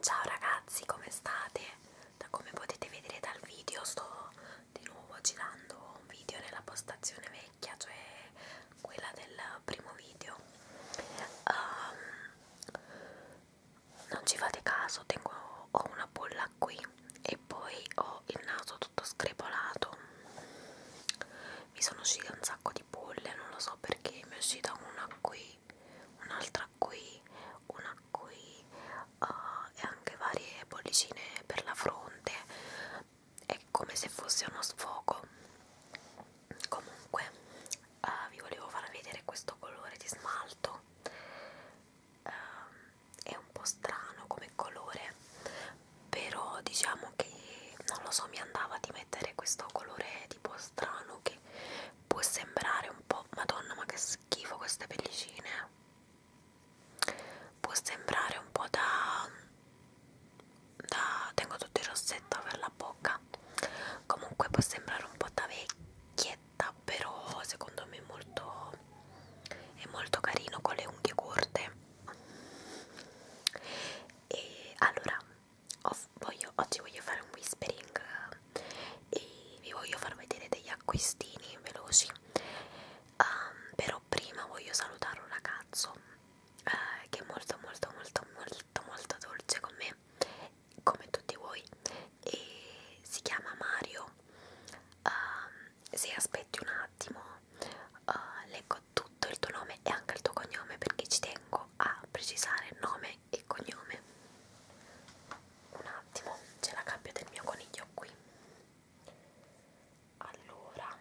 Ciao ragazzi, come state? Da come potete vedere dal video sto di nuovo girando un video nella postazione vecchia, cioè quella del primo video. Um, non ci fate caso, tengo, ho una bolla qui e poi ho il naso tutto screpolato. Mi sono uscite un sacco di bolle, non lo so perché, mi è uscita una qui un'altra qui, una qui uh, e anche varie bollicine per la fronte. È come se fosse uno sfogo. Comunque, uh, vi volevo far vedere questo colore di smalto. Uh, è un po' strano come colore, però diciamo che non lo so, mi andava di mettere questo colore tipo strano che può sembrare un po' madonna ma che schifo queste pellicine può sembrare un po' da, da tengo tutto il rossetto per la bocca comunque può sembrare un po' da vecchietta però secondo me è molto è molto carino con le unghie corte e allora ho voglio, oggi voglio fare un whispering eh, e vi voglio far vedere degli acquistini veloci um, però prima voglio salutare un ragazzo uh, che è molto molto molto molto molto dolce con me come tutti voi e si chiama Mario uh, se aspetti un attimo uh, leggo tutto il tuo nome e anche il tuo cognome perché ci tengo a precisare nome nome e cognome un attimo c'è la gabbia del mio coniglio qui allora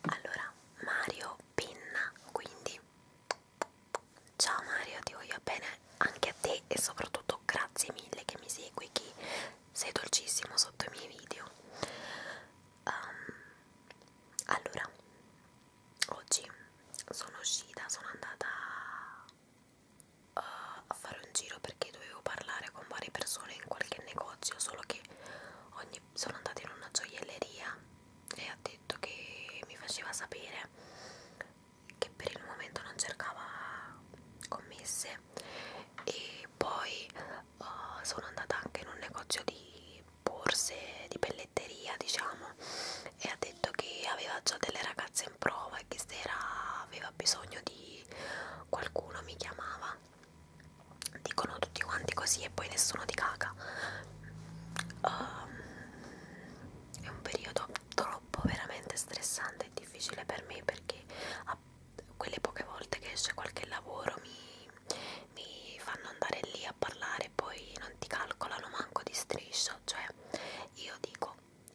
allora Mario Pinna quindi ciao Mario ti voglio bene anche a te e soprattutto grazie mille che mi segui che sei dolcissimo sotto i miei video um, allora oggi sono uscita, sono andata a, eh, a fare un giro perché dovevo parlare con varie persone in qualche negozio, solo che ogni, sono andata in una gioielleria e ha detto che mi faceva sapere che per il momento non cercava commesse e poi uh, sono andata anche in un negozio di borse di pelletteria diciamo e ha detto che aveva già delle ragazze in prova e che se era, aveva bisogno di qualcuno mi chiamava dicono tutti quanti così e poi nessuno ti caga um, è un periodo troppo veramente stressante e difficile per me perché a quelle poche volte che esce qualche lavoro mi, mi fanno andare lì a parlare e poi non ti calcolano manco di striscio cioè cioè io dico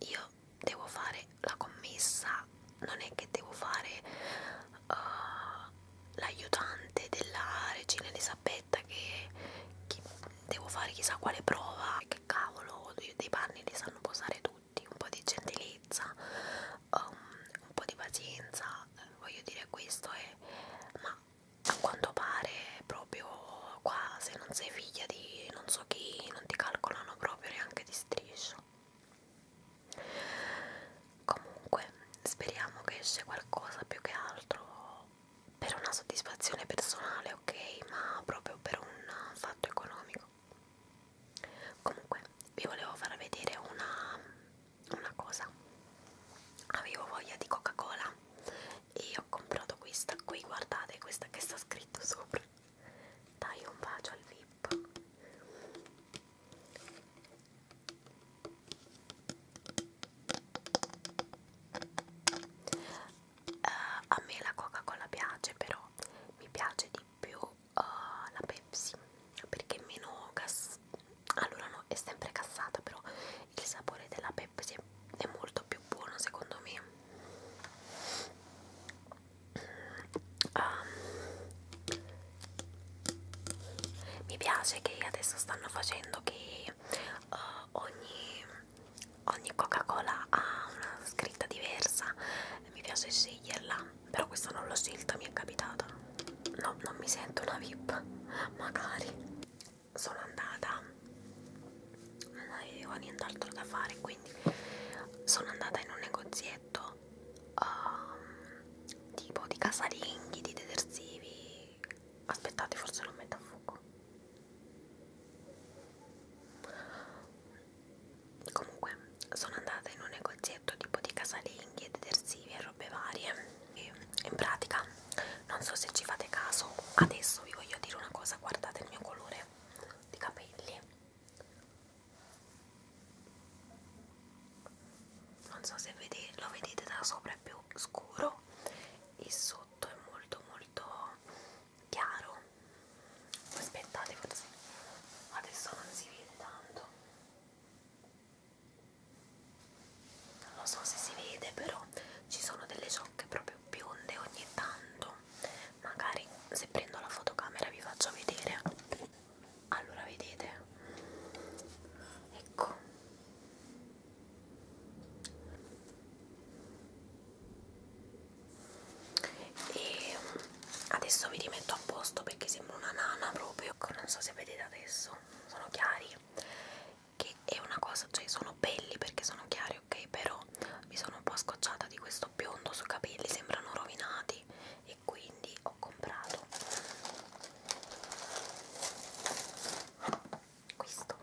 io devo fare la commessa non è che devo fare uh, l'aiutante della regina Elisabetta che, che devo fare chissà quale prova che cavolo dei panni li sanno posare tutti un po' di gentilezza um, un po' di pazienza voglio dire questo è ma a quanto pare proprio qua se non sei figlia di non so chi non ti calcolano proprio neanche di striscio comunque speriamo che esce qualcosa più che altro per una soddisfazione personale ok ma proprio per un fatto economico comunque vi volevo far vedere una, una cosa avevo voglia di coca cola e ho comprato questa qui guardate questa che sta scritto sopra dai un bacio al vip uh, a me la coca cola piace però mi piace di più uh, la pepsi perché è meno gas allora no è sempre cassata però il sapore della pepsi quindi è molto più buono secondo me um, mi piace che adesso stanno facendo che uh, ogni, ogni coca cola ha una scritta diversa mi piace sceglierla però questa non l'ho scelta mi è capitata no non mi sento una vip magari sono andata non avevo nient'altro da fare quindi sono andata in un negozietto um, tipo di casalinghi di detersivi aspettate forse lo metto a fuoco comunque sono andata in un negozietto tipo di casalinghi e detersivi e robe varie e in pratica non so se ci fate caso adesso vi voglio dire una cosa guardate il mio colore di capelli non so se vede, lo vedete da sopra è più scuro e sotto è molto molto chiaro aspettate forse adesso non si vede tanto non so se si vede però ci sono delle ciocche proprio bionde ogni tanto magari se prendo la fotocamera vi faccio vedere allora vedete ecco e mm, adesso vi rimetto a posto perché sembra una nana proprio ecco, non so se vedete adesso sono chiari che è una cosa, cioè sono belli perché sono chiari, ok, però mi sono un po' scocciata di questo biondo sui capelli, sembrano rovinati e quindi ho comprato questo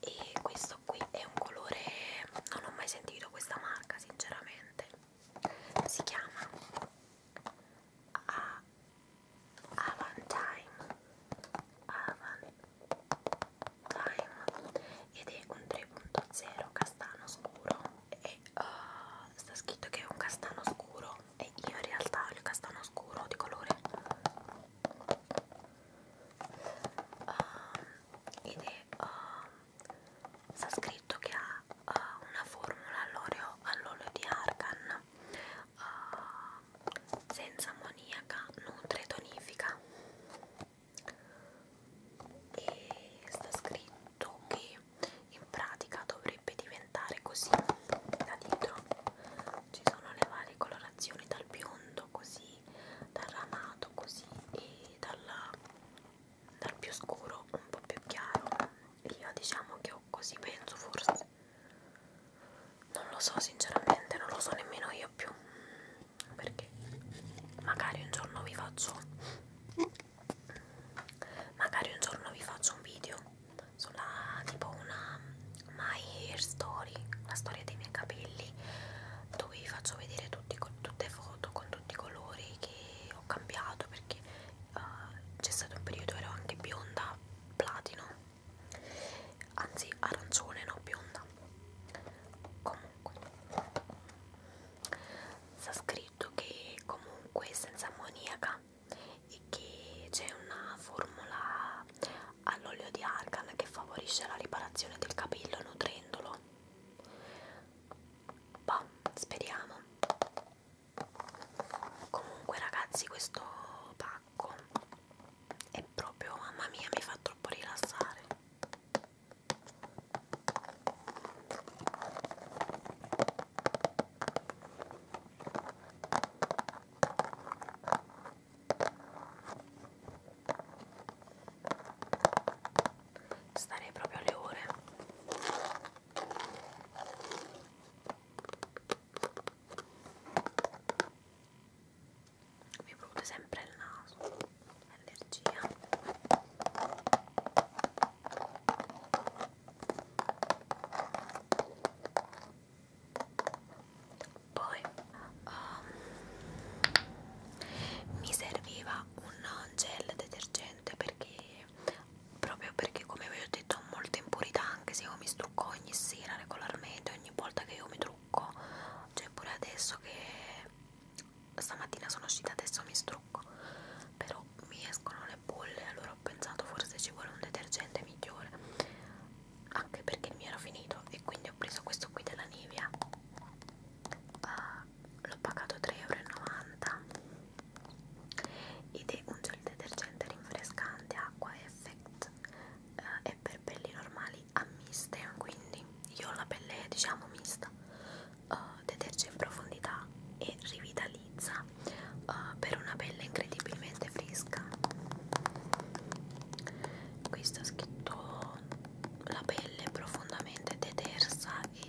e questo qui è un colore non ho mai sentito questa marca sinceramente si chiama a Avantime Avantime ed è un 3.0 castano scuro e uh, sta scritto che è un castano scuro e io in realtà ho il castano scuro di colore uh, ed è uh, sta scritto che ha uh, una formula all'olio all di argan uh, senza ammoniaca, nutre e tonifica e sta scritto che in pratica dovrebbe diventare così da dietro ci sono le varie colorazioni dal biondo così dal ramato così e dalla, dal più scuro un po' più chiaro io diciamo che ho così penso forse non lo so sinceramente non lo so nemmeno io più perché magari un giorno vi faccio magari un giorno vi faccio un video sulla tipo una my hair story la storia dei miei capelli dove vi faccio vedere tutti, tutte foto con tutti i colori che ho cambiato perché uh, c'è stato un periodo ero anche bionda platino anzi arancione no bionda comunque sta scritto che comunque è senza ammoniaca e che c'è una formula all'olio di argan che favorisce la riparazione del capello nutrendolo bah speriamo comunque ragazzi questo pacco è proprio mamma mia mi fa troppo rilassare Starei proprio alle ore mi prode sempre il naso allergia poi um, mi serviva un gel detergente perché proprio perché come vi ho detto ho molta impurità anche se io mi strucco ogni sera regolarmente ogni volta che io mi trucco cioè pure adesso che stamattina sono uscita adesso mi strucco però mi escono le bolle allora ho pensato forse ci vuole un detergente migliore anche perché il mio era finito e quindi ho preso questo qui della Nivea uh, l'ho pagato 3,90€ ed è un gel detergente rinfrescante acqua e Perfect eh, è per pelli normali a miste quindi io ho la pelle diciamo mista uh, deterge in profondità e rivitalizza uh, per una pelle incredibilmente fresca qui sta scritto la pelle profondamente detersa e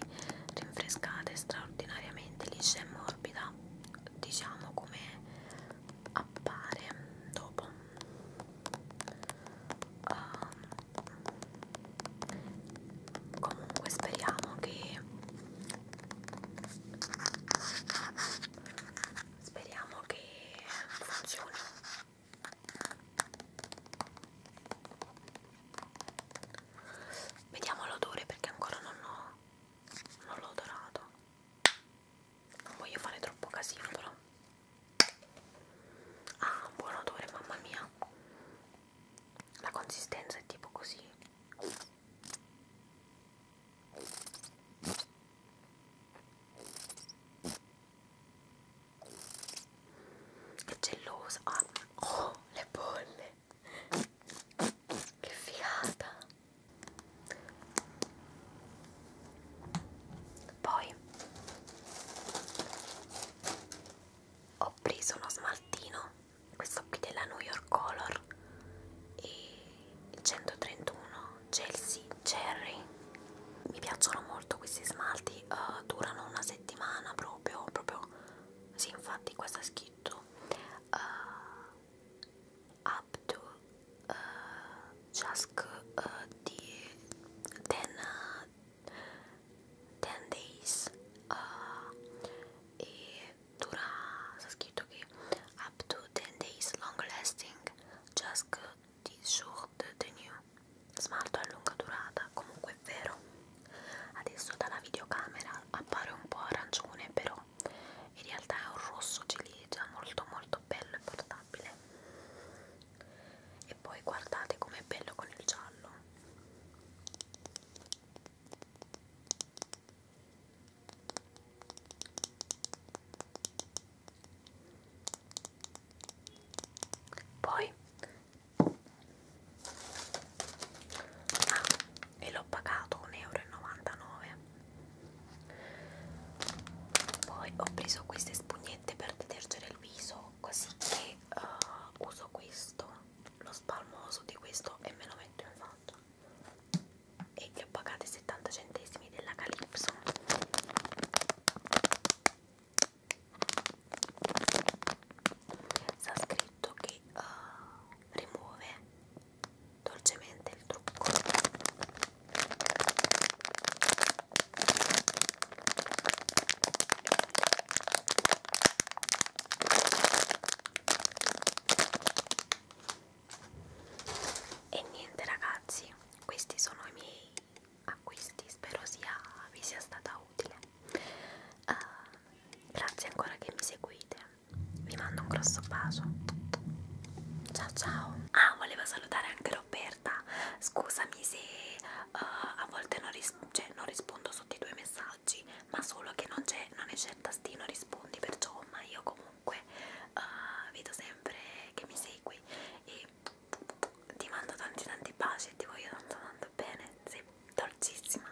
rinfrescata e straordinariamente liscia e morbida sia diciamo come appare dopo uh, comunque speriamo che speriamo che funzioni Vediamo l'odore perché ancora non l'ho non l'ho odorato non voglio fare troppo casino però ah buon odore mamma mia la consistenza è tipo così è gelosa ah, oh le bolle che figata poi ho preso uno smaltino questo qui della New York Color e 131 Chelsea Cherry mi piacciono molto questi smalti uh, durano una settimana proprio proprio sì infatti questo è scritto uh, up to uh, just uh, the ten, uh, ten days uh, e dura sta scritto che up to 10 days long lasting just the short tenue smalto a lunga durata comunque è vero adesso dalla videocamera appare un po' arancione però in realtà è un rosso ciliegia molto molto bello e portabile e poi guardate com'è bello con il giallo poi ah, e l'ho pagato 1,99 euro poi ho preso queste spugnette per detergere il viso così che uh, uso questo lo spalmoso di questo e me lo metto in faccia e li ho pagati 70 centesimi della Calypso sta scritto che uh, rimuove dolcemente il trucco e niente ragazzi questi sono i miei acquisti spero sia, vi sia stata utile uh, grazie ancora che mi seguite vi mando un grosso bacio ciao ciao ah volevo salutare anche Roberta scusami se uh, a volte non, ris cioè, non rispondo sotto i tuoi messaggi ma solo che non c'è non c'è il tastino rispondi perciò ma io comunque uh, vedo sempre che mi segui e ti mando tanti tanti baci e ti voglio tanto tanto bene sei dolcissima